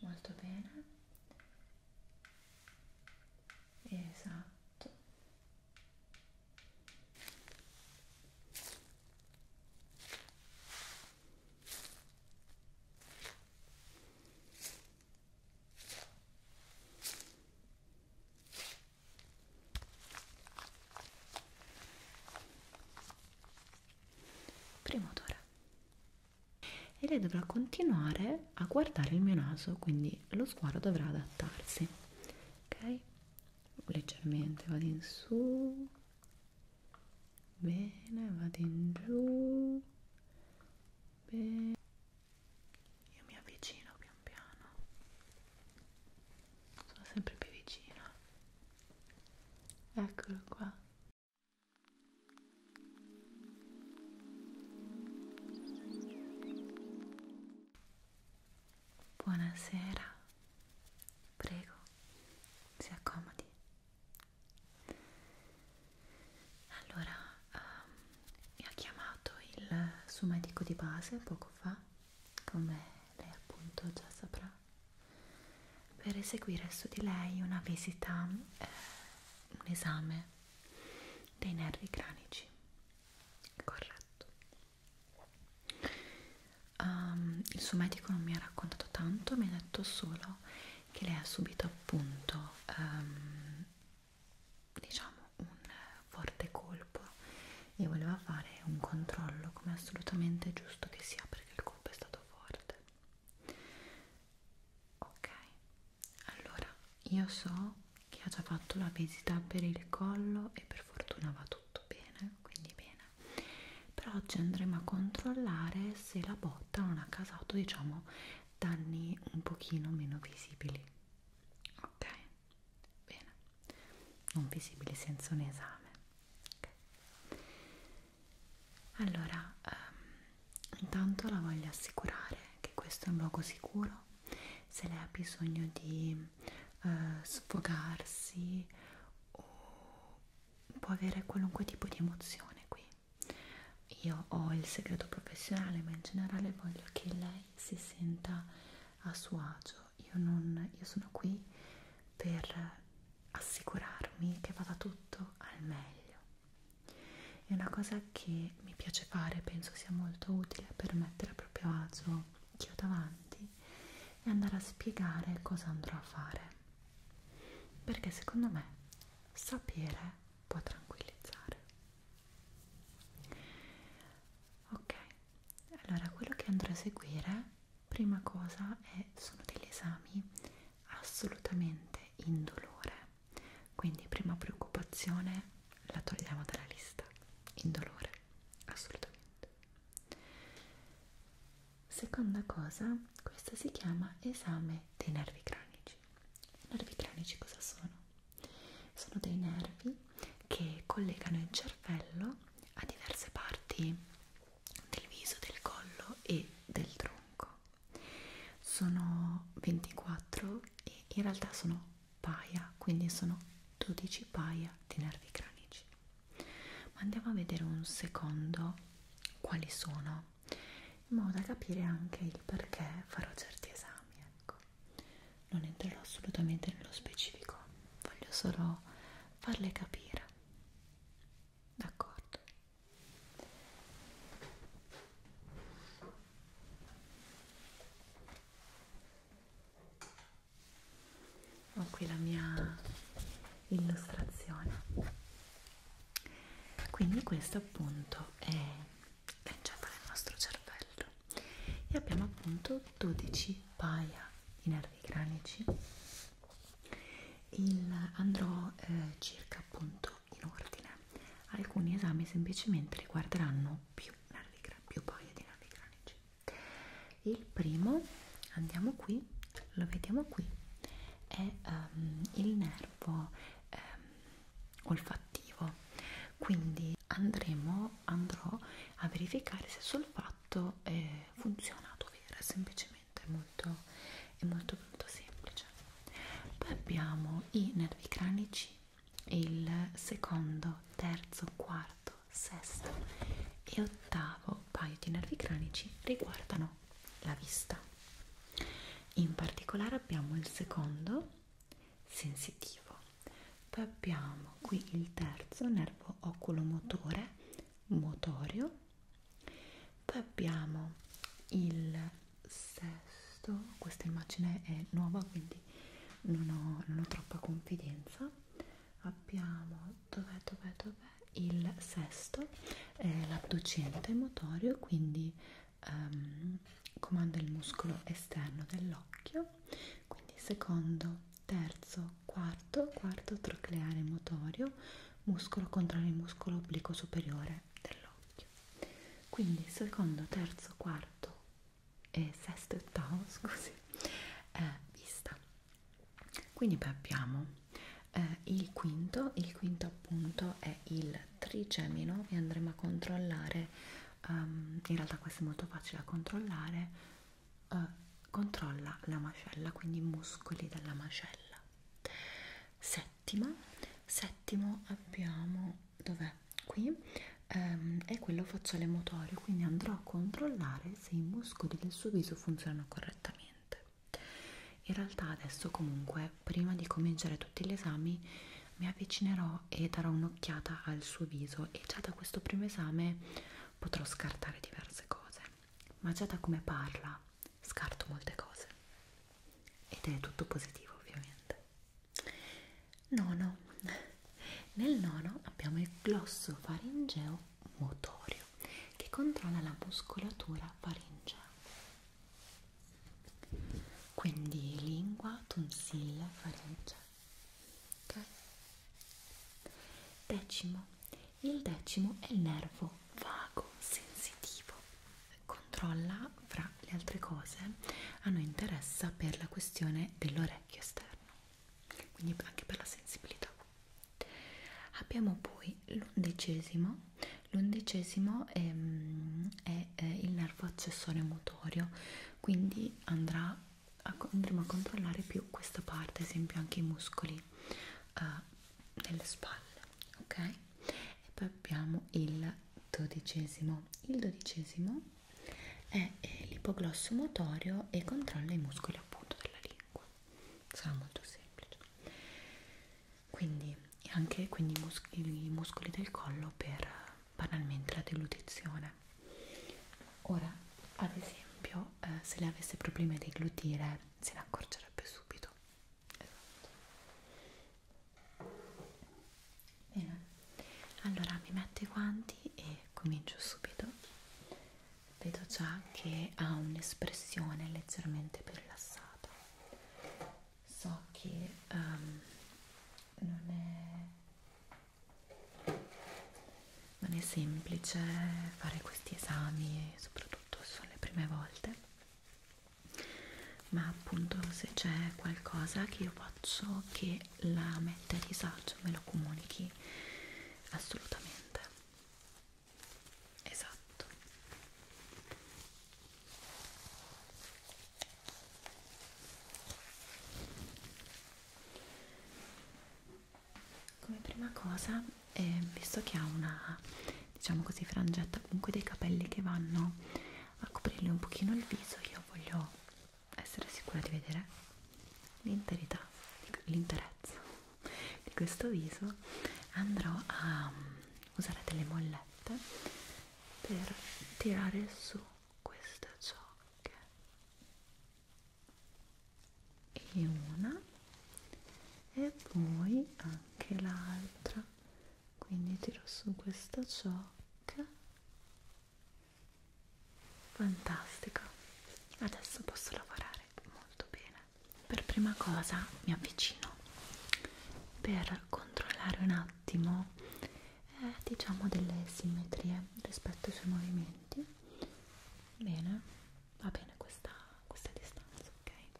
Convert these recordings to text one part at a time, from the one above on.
molto bene esatto primo odore e lei dovrà continuare a guardare il mio naso quindi lo sguardo dovrà adattarsi ok leggermente vado in su bene vado in giù bene io mi avvicino pian piano sono sempre più vicina eccolo qua Buonasera, prego, si accomodi. Allora, um, mi ha chiamato il suo medico di base poco fa, come lei appunto già saprà per eseguire su di lei una visita, eh, un esame dei nervi cranici. Corretto. Um, il suo medico non mi ha raccontato tanto, mi ha detto solo che lei ha subito appunto um, diciamo un forte colpo e voleva fare un controllo come assolutamente giusto che sia perché il colpo è stato forte ok allora io so che ha già fatto la visita per il collo e per fortuna va tutto bene quindi bene però oggi andremo a controllare se la botta non ha causato diciamo danni un pochino meno visibili ok bene non visibili senza un esame okay allora um, intanto la voglio assicurare che questo è un luogo sicuro se lei ha bisogno di uh, sfogarsi o può avere qualunque tipo di emozione qui io ho il segreto professionale ma in generale voglio che lei si senta a suo agio io, non, io sono qui per assicurarmi che vada tutto al meglio. È una cosa che mi piace fare, penso sia molto utile per mettere a proprio agio chi ho davanti e andare a spiegare cosa andrò a fare. Perché secondo me sapere può tranquillizzare. Ok, allora quello che andrò a seguire, prima cosa è, sono degli esami assolutamente indolore quindi prima preoccupazione la togliamo dalla lista indolore assolutamente seconda cosa questa si chiama esame dei nervi cranici i nervi cranici cosa sono? sono dei nervi che collegano il cervello a diverse parti del viso, del collo e del tronco. Sono 24 e in realtà sono paia, quindi sono 12 paia di nervi cranici. Ma andiamo a vedere un secondo quali sono, in modo da capire anche il perché farò certi esami. Ecco. Non entrerò assolutamente nello specifico, voglio solo farle capire. D'accordo? Ho qui la mia illustrazione. Quindi questo appunto è lanciato nel nostro cervello e abbiamo appunto 12 paia di nervi cranici il, andrò eh, circa appunto in ordine. Alcuni esami semplicemente riguarderanno più, più paia di nervi cranici. Il primo, andiamo qui, lo vediamo qui, è um, il nervo um, olfattivo. Quindi andremo, andrò a verificare se sul fatto eh, funziona ad ovvero semplicemente veramente è molto, è molto molto semplice poi abbiamo i nervi cranici il secondo, terzo, quarto, sesto e ottavo paio di nervi cranici riguardano la vista in particolare abbiamo il secondo sensitivo poi abbiamo qui il terzo nervo oculomotore motorio poi abbiamo il sesto questa immagine è nuova quindi non ho, non ho troppa confidenza abbiamo dov'è dov'è dov'è il sesto è l'adducente motorio quindi um, comanda il muscolo esterno dell'occhio quindi secondo terzo quarto quarto trocleare motorio muscolo contro il muscolo obliquo superiore dell'occhio. Quindi secondo, terzo, quarto e sesto e ottavo, scusi, è eh, vista. Quindi beh, abbiamo eh, il quinto, il quinto appunto è il trigemino e andremo a controllare, um, in realtà questo è molto facile da controllare, uh, controlla la mascella, quindi i muscoli della mascella settima settimo abbiamo dov'è qui ehm, è quello facciale motorio quindi andrò a controllare se i muscoli del suo viso funzionano correttamente in realtà adesso comunque prima di cominciare tutti gli esami mi avvicinerò e darò un'occhiata al suo viso e già da questo primo esame potrò scartare diverse cose ma già da come parla scarto molte cose ed è tutto positivo ovviamente. Nono, nel nono abbiamo il glosso faringeo motorio che controlla la muscolatura faringea. Quindi lingua, tonsilla, faringe. Ok? Decimo, il decimo è il nervo vago, sensitivo. Controlla, fra le altre cose, a noi interessa per la questione dell'orecchio esterno, quindi anche per la sensibilità. Abbiamo poi l'undicesimo. L'undicesimo ehm, è, è, eh, è il nervo accessorio motorio, quindi andrà a, andremo a controllare più questa parte, ad esempio anche i muscoli uh, eh, delle spalle ok e poi abbiamo il dodicesimo il dodicesimo è l'ipoglosso motorio e controlla i muscoli appunto della lingua sarà molto semplice quindi anche quindi i, muscoli, i muscoli del collo per banalmente la deglutizione ora ad esempio eh, se lei avesse problemi a deglutire se ne accorgerebbe subito esatto. Bene, allora mi metto i guanti e comincio subito. Vedo già che ha un'espressione leggermente più rilassata. So che um, non, è, non è semplice fare questi esami, soprattutto sono le prime volte ma appunto se c'è qualcosa che io faccio che la mette a disagio me lo comunichi assolutamente esatto come prima cosa eh, visto che ha una diciamo così frangetta comunque dei capelli che vanno a coprirle un pochino il viso io voglio essere sicura di vedere l'interità l'interezza di questo viso andrò a um, usare delle mollette per tirare su queste ciocche e una e poi anche l'altra quindi tiro su questa ciocca fantastico adesso posso lavorare molto bene per prima cosa mi avvicino per controllare un attimo eh, diciamo delle simmetrie rispetto ai suoi movimenti bene va bene questa, questa distanza ok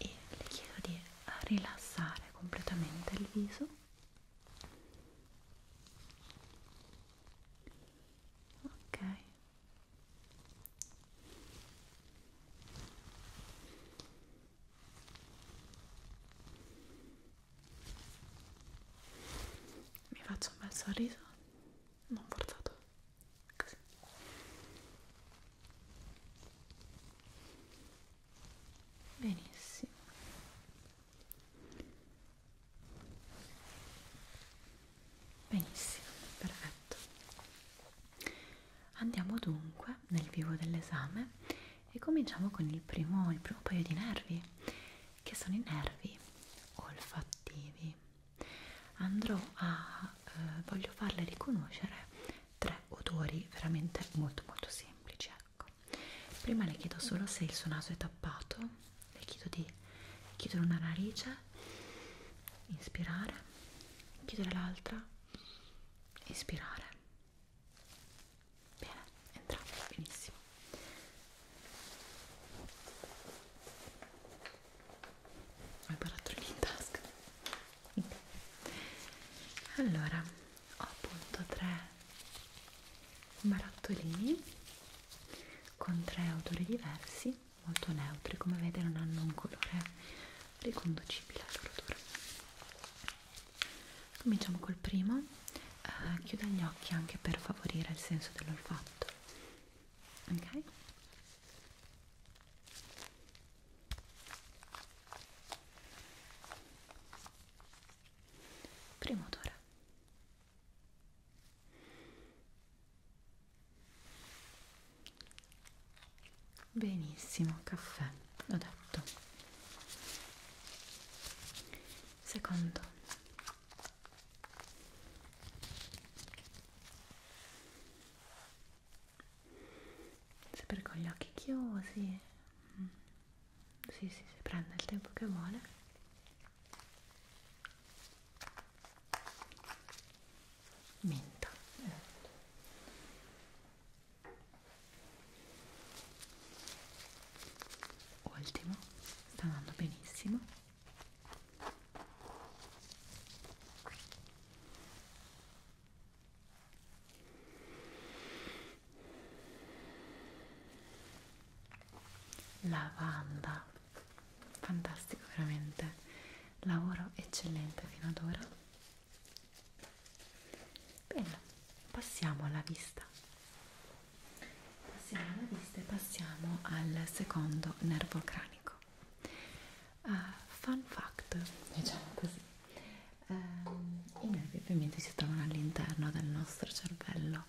e le chiedo di rilassare completamente il viso ok mi faccio un bel sorriso non forzato Così. Benissimo. Benissimo, perfetto. Andiamo dunque nel vivo dell'esame e cominciamo con il primo, il primo paio di nervi, che sono i nervi olfattivi. Andrò a eh, voglio farle riconoscere tre odori veramente molto molto semplici ecco prima le chiedo solo se il suo naso è tappato le chiedo di chiudere una narice inspirare chiudere l'altra inspirare bene entrambi benissimo ho il barattolino in tasca quindi. Allora, ho appunto tre barattolini con tre odori diversi, molto neutri, come vede non hanno un colore riconducibile al loro odore. Cominciamo col primo, eh, chiuda gli occhi anche per favorire il senso dell'olfatto. Ok? primo odore benissimo caffè l'ho detto secondo sempre con gli occhi chiusi mm. sì, sì, si prende il tempo che vuole menta ultimo sta andando benissimo lavanda fantastico veramente lavoro eccellente fino ad ora bene passiamo alla vista passiamo alla vista e passiamo al secondo nervo cranico Uh, fun fact, diciamo così, um, i nervi ovviamente si trovano all'interno del nostro cervello,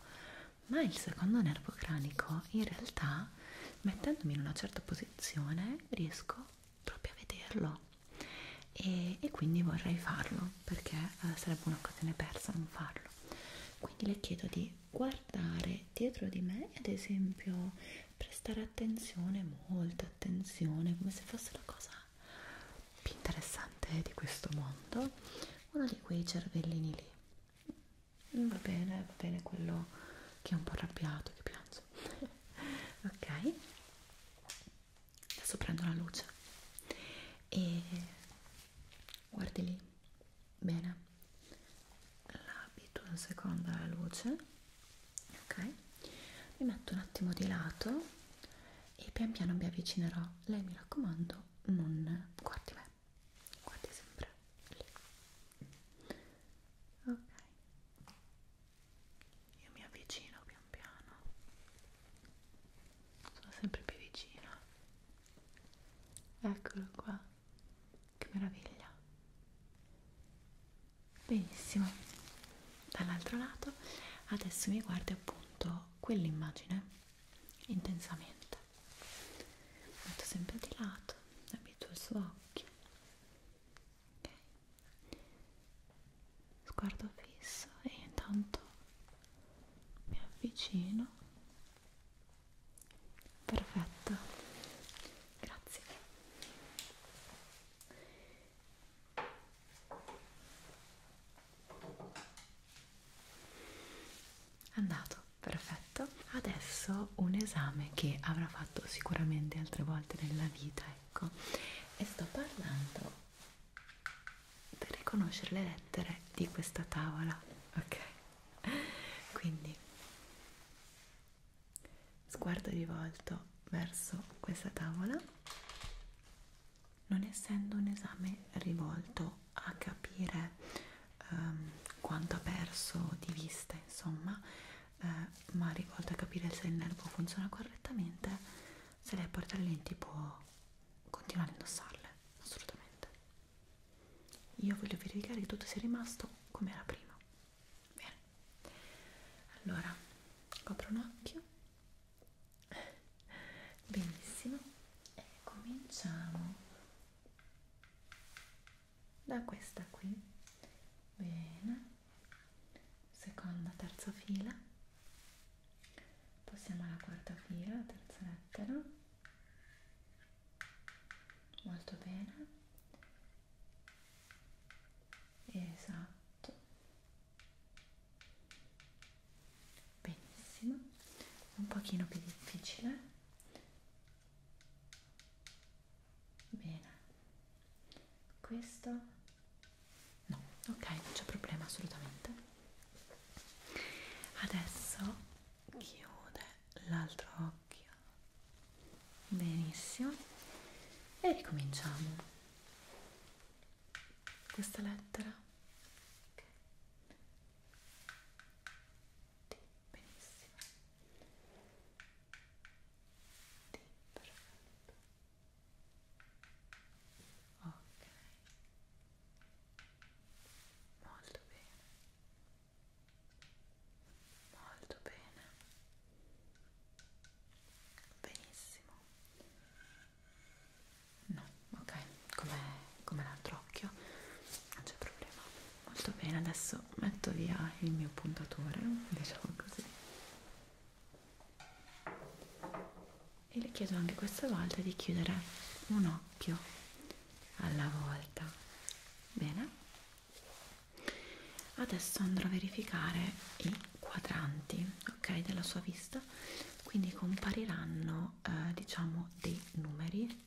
ma il secondo nervo cranico in realtà, mettendomi in una certa posizione, riesco proprio a vederlo e, e quindi vorrei farlo perché uh, sarebbe un'occasione persa non farlo. Quindi le chiedo di guardare dietro di me, ad esempio prestare attenzione, molta attenzione, come se fosse la cosa più interessante di questo mondo, uno di quei cervellini lì. Mm, va bene, va bene quello che è un po' arrabbiato, che piange. ok? Adesso prendo la luce e guardi lì. Bene. L'abito un secondo alla luce ok mi metto un attimo di lato e pian piano mi avvicinerò lei mi raccomando non guardi me guardi sempre lì ok io mi avvicino pian piano sono sempre più vicino eccolo qua che meraviglia benissimo dall'altro lato adesso mi guardi appunto quell'immagine intensamente metto sempre di lato abituo il suo occhio ok sguardo fisso e intanto mi avvicino perfetto grazie Andato, perfetto. Adesso un esame che avrà fatto sicuramente altre volte nella vita, ecco. E sto parlando per riconoscere le lettere di questa tavola, ok? Quindi sguardo rivolto verso questa tavola non essendo un esame rivolto a capire ehm, quanto ha perso di vista insomma eh, ma rivolto a capire se il nervo funziona correttamente se lei porta le lenti può continuare a indossarle assolutamente io voglio verificare che tutto sia rimasto come era prima Bene, allora copro un occhio, benissimo, e cominciamo da questa qui, bene, seconda, terza fila, passiamo alla quarta fila, terza lettera, molto bene esatto benissimo un pochino più difficile bene questo no ok non c'è problema assolutamente adesso chiude l'altro occhio benissimo e ricominciamo questa lettera ok D, benissimo D, perfetto ok molto bene molto bene benissimo no, ok, come, come l'altro occhio non c'è problema molto bene, adesso metto via il mio puntatore diciamo così e le chiedo anche questa volta di chiudere un occhio alla volta bene adesso andrò a verificare i quadranti ok della sua vista quindi compariranno eh, diciamo dei numeri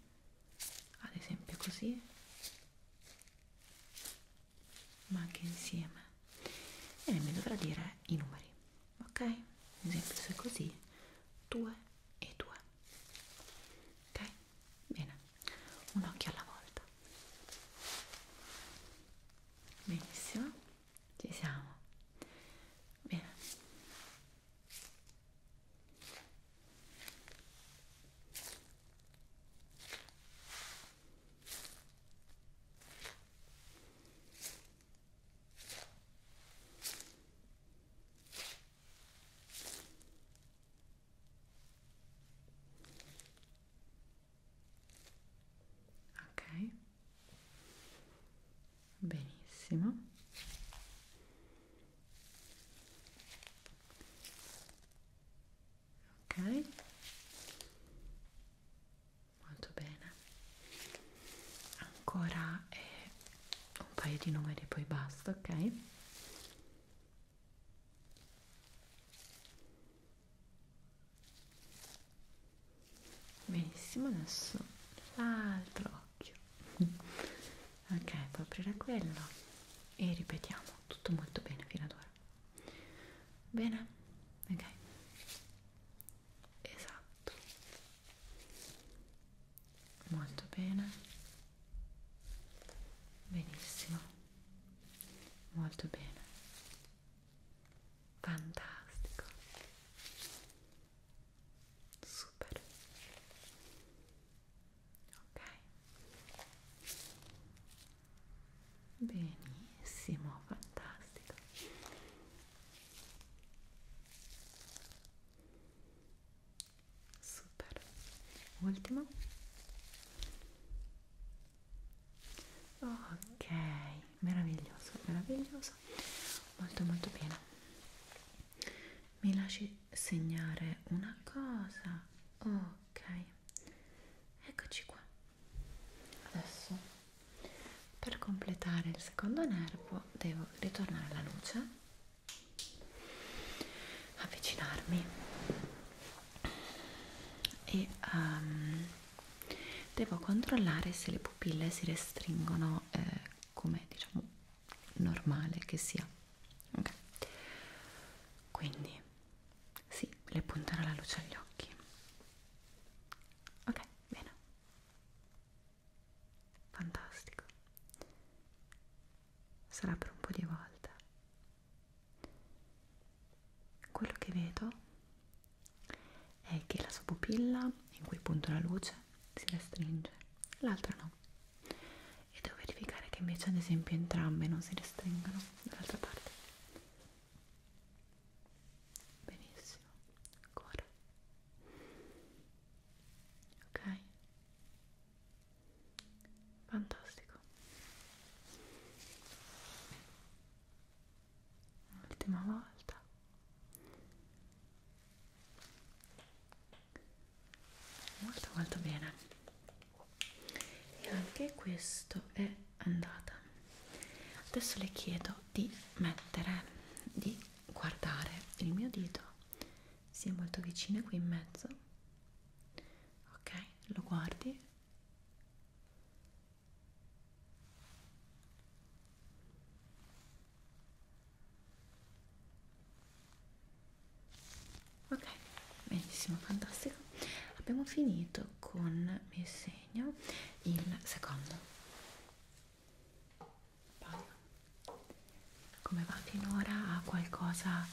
ad esempio così ma anche insieme e mi dovrà dire i numeri ok ad esempio se così 2 e 2 ok bene un occhio alla volta benissimo ci siamo bene ok benissimo ok molto bene ancora eh, un paio di numeri poi basta ok benissimo adesso l'altro occhio ok puoi aprire quello e ripetiamo tutto molto bene fino ad ora bene ok esatto molto bene benissimo molto bene fantastico super ok benissimo fantastico super ultimo ok meraviglioso meraviglioso molto molto bene mi lasci segnare una cosa ok eccoci qua adesso per completare il secondo nervo devo ritornare alla luce avvicinarmi e um, devo controllare se le pupille si restringono eh, come diciamo normale che sia okay. quindi sì, le punterò la luce agli occhi ok, bene fantastico sarà per un po' di volte quello che vedo è che la sua pupilla, in cui punto la luce, si restringe, l'altra no. E devo verificare che invece, ad esempio, entrambe non si restringano dall'altra parte. Benissimo, ancora. Ok. Fantastico l'ultima volta molto molto bene e anche questo è andata adesso le chiedo di mettere di guardare il mio dito si è molto vicino qui in mezzo ok lo guardi Ok, benissimo, fantastico. Abbiamo finito con mi segno il secondo paio. Come va finora? Ha qualcosa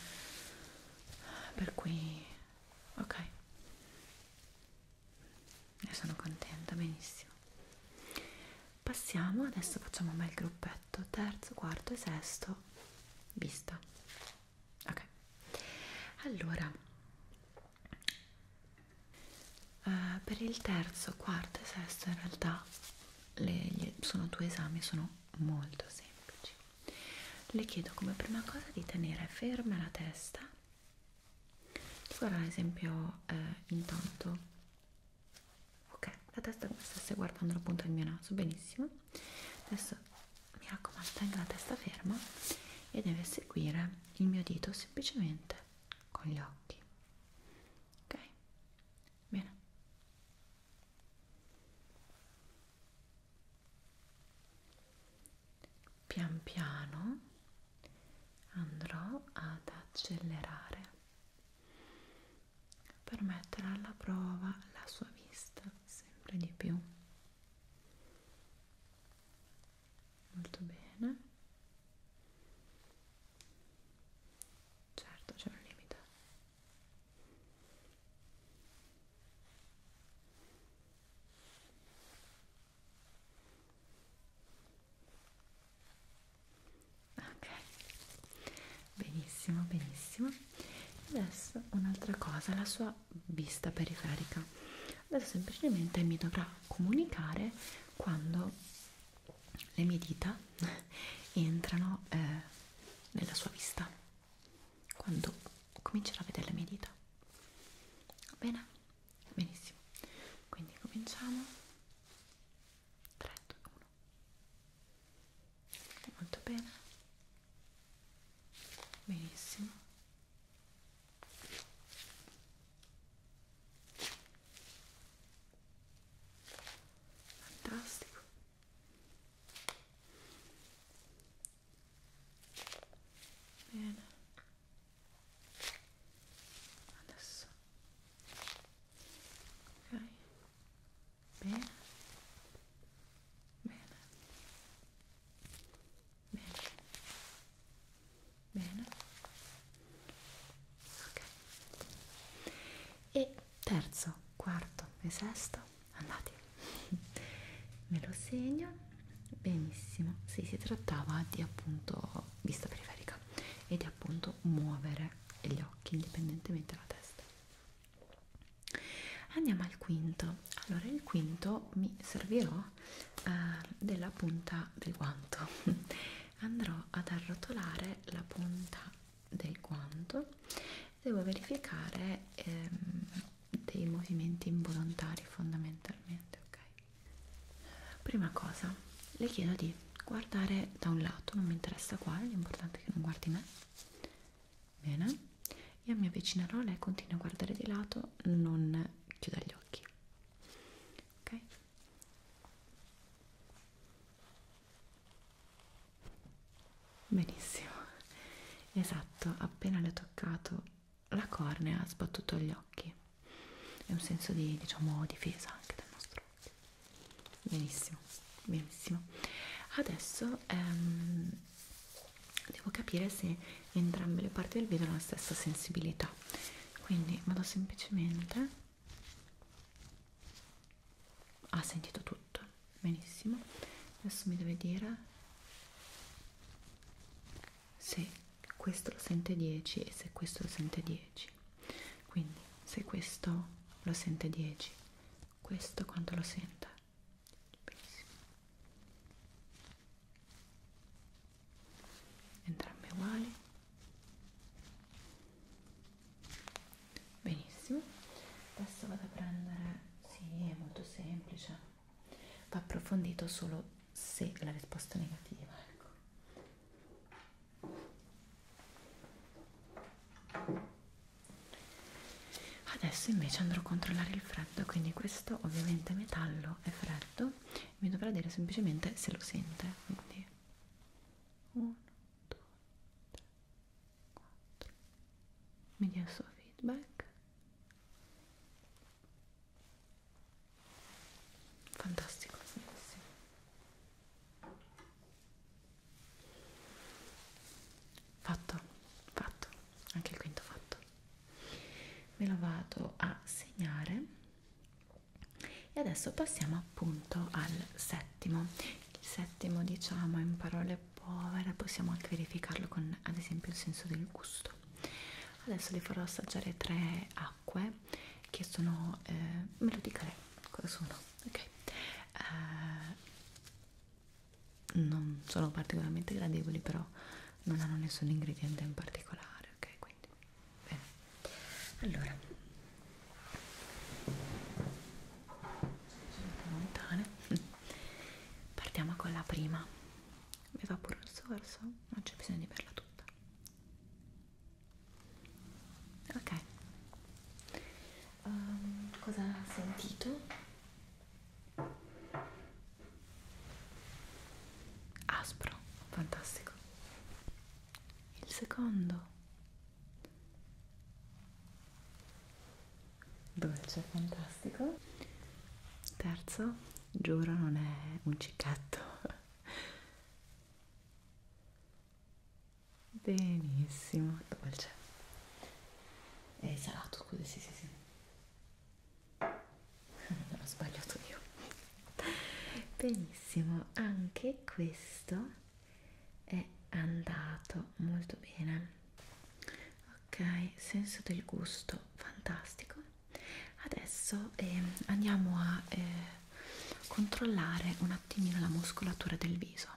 per cui ok ne sono contenta, benissimo. Passiamo, adesso facciamo un bel gruppetto, terzo, quarto e sesto, vista. Ok, allora, eh, per il terzo, quarto e sesto in realtà le, sono due esami, sono molto semplici. Le chiedo come prima cosa di tenere ferma la testa guarda ad esempio eh, intanto ok la testa come stesse guardando la punta del mio naso benissimo adesso mi raccomando tenga la testa ferma e deve seguire il mio dito semplicemente con gli occhi ok bene pian piano andrò ad accelerare per mettere alla prova la sua vista sempre di più molto bene certo c'è un limite ok benissimo benissimo adesso un'altra cosa la sua vista periferica adesso semplicemente mi dovrà comunicare quando le mie dita entrano eh, nella sua vista quando comincerà a vedere le mie dita va bene benissimo quindi cominciamo 3 2 1 molto bene benissimo fantastico bene adesso ok bene bene bene bene ok e terzo quarto e sesto andate me lo segno benissimo sì, si trattava di appunto vista periferica e di appunto muovere gli occhi indipendentemente dalla testa andiamo al quinto allora il quinto mi servirò eh, della punta del guanto andrò ad arrotolare la punta del guanto devo verificare ehm, dei movimenti involontari fondamentalmente ok Prima cosa, le chiedo di guardare da un lato, non mi interessa quale, l'importante è che non guardi me. Bene, io mi avvicinerò, lei continua a guardare di lato, non chiuda gli occhi. Ok? Benissimo, esatto, appena le ho toccato la cornea ha sbattuto gli occhi è un senso di diciamo difesa anche del nostro occhio benissimo benissimo adesso ehm, devo capire se entrambe le parti del video hanno la stessa sensibilità quindi vado semplicemente ha ah, sentito tutto benissimo adesso mi deve dire se questo lo sente 10 e se questo lo sente 10 quindi se questo lo sente 10 questo quanto lo sente Benissimo. entrambe uguali benissimo adesso vado a prendere sì è molto semplice va approfondito solo se la risposta è negativa. Ecco. Adesso invece andrò a controllare il freddo, quindi questo ovviamente metallo è freddo, mi dovrà dire semplicemente se lo sente. Quindi 1, 2, 3, 4, mi dia il suo feedback fantastico bellissimo. fatto fatto anche il quinto fatto me lo vado a segnare e adesso passiamo appunto al settimo il settimo diciamo in parole povere possiamo anche verificarlo con ad esempio il senso del gusto adesso vi farò assaggiare tre acque acque che sono eh, me lo dica lei cosa sono ok eh, non sono particolarmente gradevoli però non hanno nessun ingrediente in particolare ok quindi bene allora sono lontane partiamo con la prima mi fa pure un sorso non c'è bisogno di berla tutta ok um, cosa ha sentito? aspro fantastico il secondo dolce fantastico terzo giuro non è un cicchetto benissimo dolce è salato scusi sì sì sì non ho sbagliato io benissimo anche questo è andato molto bene ok senso del gusto fantastico Adesso eh, andiamo a eh, controllare un attimino la muscolatura del viso,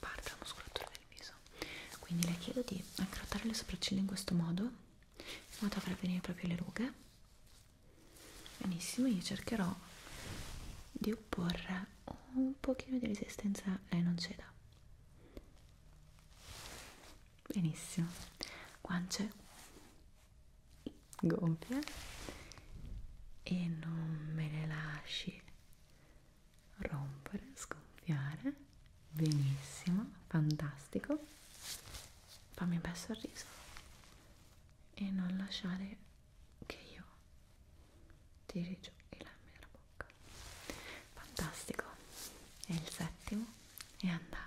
parte la muscolatura del viso. Quindi le chiedo di accrottare le sopracciglia in questo modo, in modo da far venire proprio le rughe. Benissimo, io cercherò di opporre un pochino di resistenza, lei eh, non ceda benissimo guance gonfie e non me le lasci rompere sgonfiare benissimo fantastico fammi un bel sorriso e non lasciare che io tiri giù i lemmi dalla bocca fantastico e il settimo è andato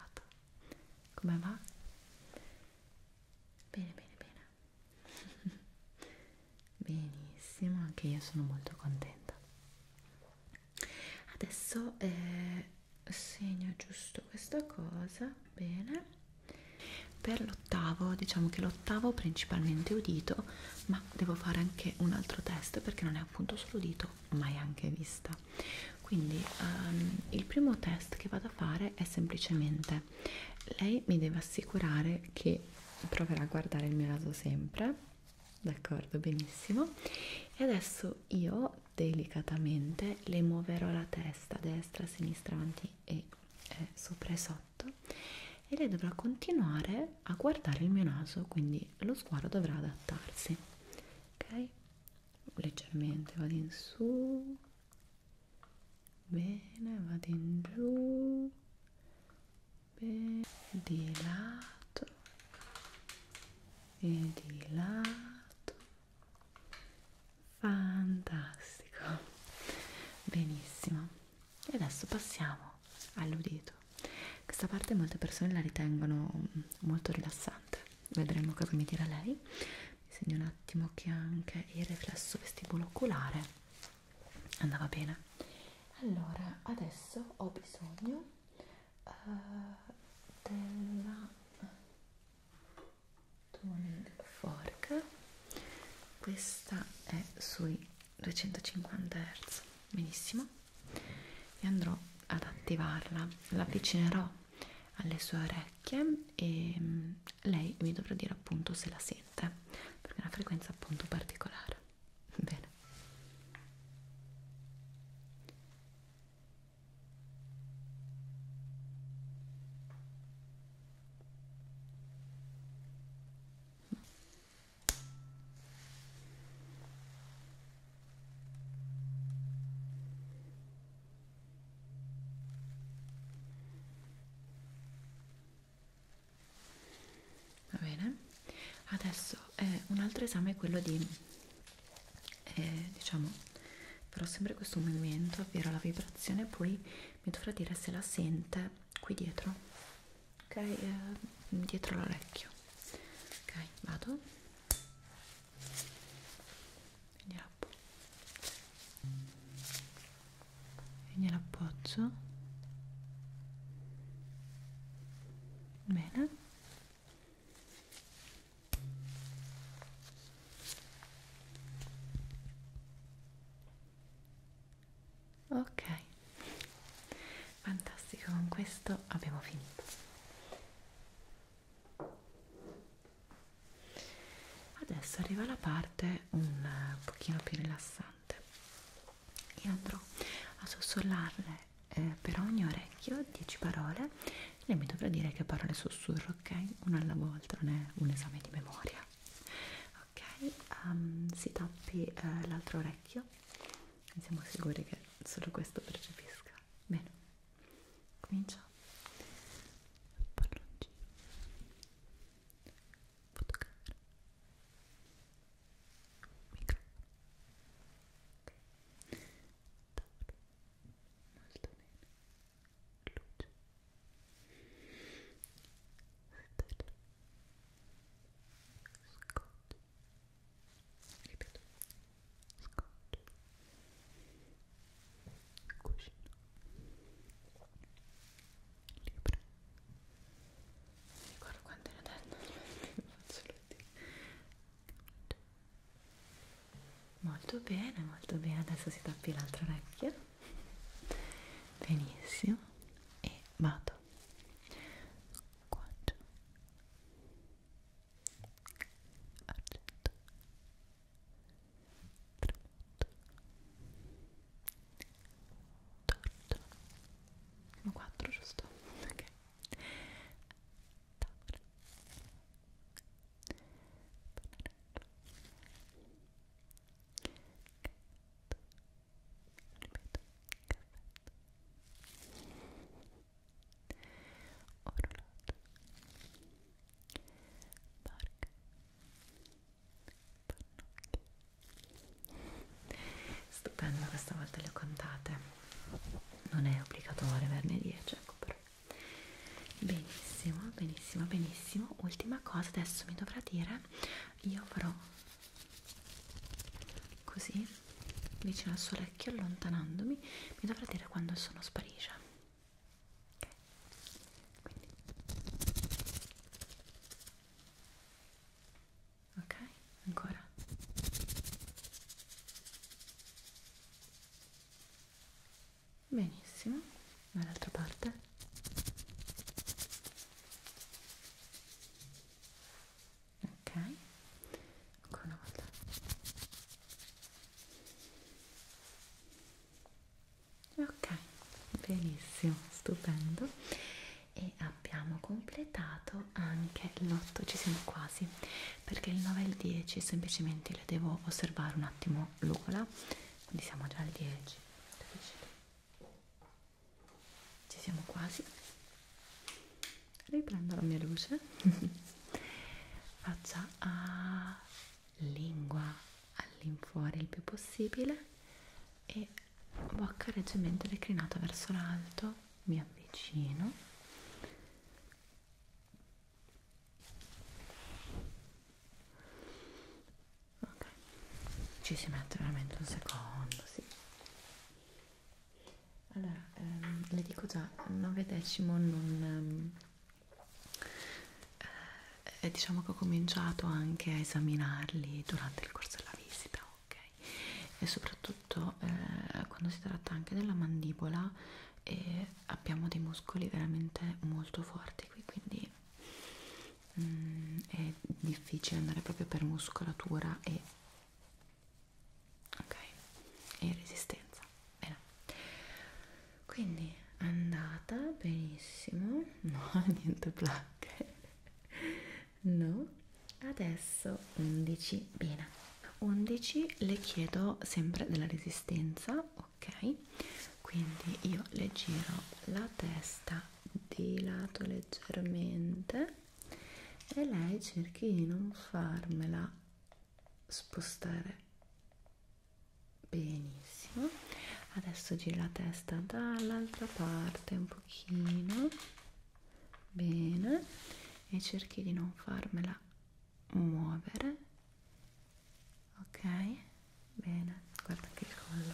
come va? Bene, bene, bene. Benissimo, anche io sono molto contenta. Adesso eh, segno giusto questa cosa, bene. Per l'ottavo, diciamo che l'ottavo principalmente udito, ma devo fare anche un altro test perché non è appunto solo udito, mai anche vista quindi um, il primo test che vado a fare è semplicemente lei mi deve assicurare che proverà a guardare il mio naso sempre d'accordo benissimo e adesso io delicatamente le muoverò la testa destra sinistra avanti e eh, sopra e sotto e lei dovrà continuare a guardare il mio naso quindi lo sguardo dovrà adattarsi ok leggermente vado in su bene vado in giù bene di lato e di lato fantastico benissimo e adesso passiamo all'udito questa parte molte persone la ritengono mm, molto rilassante vedremo cosa mi dirà lei segno un attimo che anche il riflesso vestibolo oculare andava bene allora adesso ho bisogno uh, della toning fork questa è sui 250 Hz benissimo e andrò ad attivarla l'avvicinerò alle sue orecchie e mm, lei mi dovrà dire appunto se la sente perché è una frequenza appunto particolare bene va bene adesso eh, un altro esame è quello di eh, diciamo però sempre questo movimento ovvero la vibrazione poi mi dovrà dire se la sente qui dietro ok eh, dietro l'orecchio ok vado vediamo e gliel'appoggio bene ok fantastico con questo abbiamo finito adesso arriva la parte un pochino più rilassante io andrò a sussurrarle eh, per ogni orecchio 10 parole lei mi dovrà dire che parole sussurro ok? una alla volta non è un esame di memoria ok? Um, si tappi eh, l'altro orecchio siamo sicuri che solo questo percepisca Ecco, bene, cominciamo. Palloncino. Fotocamera. Microfono. Okay. Tavolo. Molto bene. Luce. Stella. Scotch. Ripeto scotch cuscino libro ricordo quando era donna molto bene molto bene adesso si tappi l'altra orecchia benissimo e vado squaggio argento tramonto torto sono quattro giusto? ok tavola ripeto, caffetto orologio barca pannocchia stupendo questa volta le ho contate non è obbligatorio averne 10 ecco però benissimo benissimo benissimo ultima cosa adesso mi dovrà dire io farò così vicino al suo orecchio allontanandomi mi dovrà dire quando il sonno sparisce quindi. Ok, ancora. Benissimo, dall'altra parte. Ok, ancora una volta ok benissimo stupendo e abbiamo completato anche l'8 ci siamo quasi perché il 9 e il 10 semplicemente le devo osservare un attimo l'ola quindi siamo già al 10 ci siamo quasi riprendo la mia luce faccia a lingua all'infuori il più possibile e bocca leggermente declinata verso l'alto, mi avvicino ok, ci si mette veramente un secondo, sì allora, ehm, le dico già, 9 decimo non, ehm, eh, e eh, diciamo che ho cominciato anche a esaminarli durante il corso della visita, ok? E soprattutto eh, quando si tratta anche della mandibola e eh, abbiamo dei muscoli veramente molto forti qui, quindi mm, è difficile andare proprio per muscolatura e, okay, e resistenza. Bene. Quindi è andata benissimo, no, niente placche, no, adesso 11, bene, 11 le chiedo sempre della resistenza, ok? Quindi io le giro la testa di lato leggermente e lei cerchi di non farmela spostare benissimo adesso gira la testa dall'altra parte un pochino bene e cerchi di non farmela muovere ok bene guarda anche il collo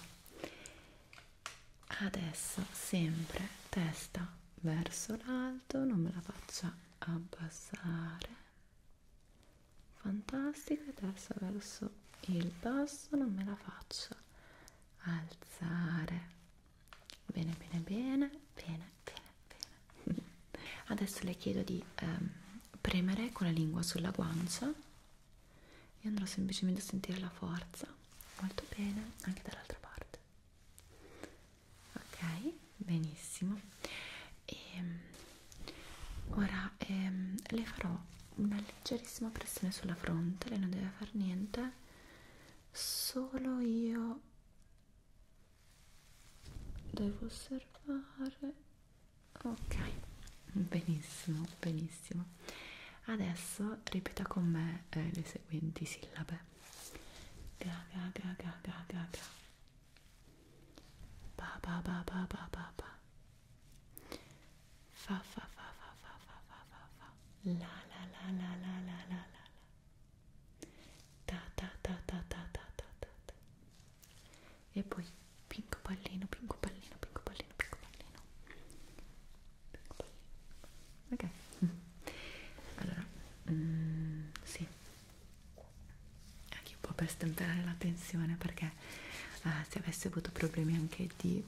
adesso sempre testa verso l'alto non me la faccia abbassare fantastica adesso verso il basso non me la faccio alzare bene bene bene bene bene bene adesso le chiedo di ehm, premere con la lingua sulla guancia e andrò semplicemente a sentire la forza molto bene anche dall'altra parte ok benissimo e ehm, ora ehm, le farò una leggerissima pressione sulla fronte lei non deve fare niente solo io devo osservare ok benissimo benissimo adesso ripeta con me eh, le seguenti sillabe ga ga ga ga ga ga ga Ba ba ba ba ba ba ba. Fa fa fa fa fa fa fa fa fa. La la la la la la la la. Ta ta ta ta ta ta ta ta. ta. E poi pinco pallino, pinco pallino, pinco pallino, pinco pallino. Pinco pallino. Ok. allora, mm, sì anche un po' per stemperare la tensione perché eh, se avessi avuto problemi anche di,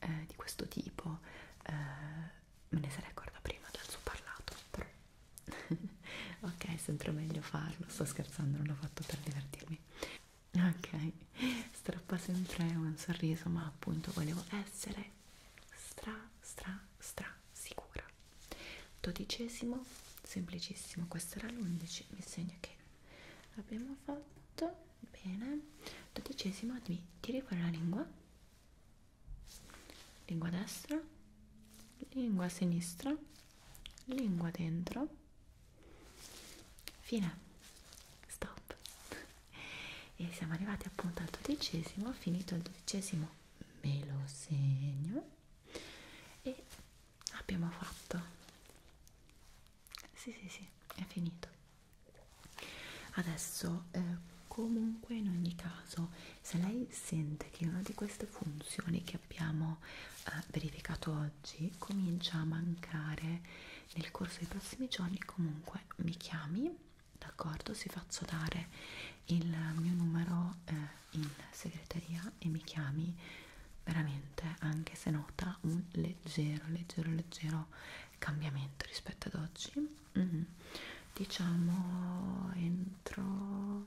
eh, di questo tipo eh, me ne sarei accorta prima dal suo parlato però ok è sempre meglio farlo sto scherzando non l'ho fatto per divertirmi ok strappa sempre un sorriso ma appunto volevo essere stra stra stra sicura dodicesimo semplicissimo questo era l'11 mi segna che abbiamo fatto bene dodicesimo mi tiri fuori la lingua lingua destra lingua sinistra lingua dentro fine stop e siamo arrivati appunto al dodicesimo finito il dodicesimo me lo segno e abbiamo fatto sì sì sì è finito adesso eh, comunque in ogni caso se lei sente che una di queste funzioni che abbiamo eh, verificato oggi comincia a mancare nel corso dei prossimi giorni comunque mi chiami d'accordo si faccio dare il mio numero eh, in segreteria e mi chiami veramente anche se nota un leggero leggero leggero cambiamento rispetto ad oggi mm -hmm. diciamo entro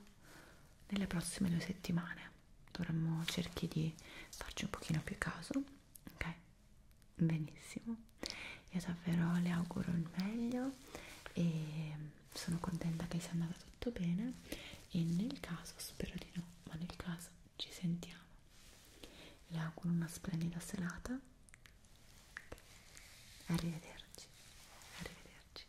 nelle prossime due settimane dovremmo cerchi di farci un pochino più caso ok benissimo io davvero le auguro il meglio e sono contenta che sia andata tutto bene e nel caso, spero di no, ma nel caso ci sentiamo. Le auguro una splendida serata. Arrivederci. Arrivederci.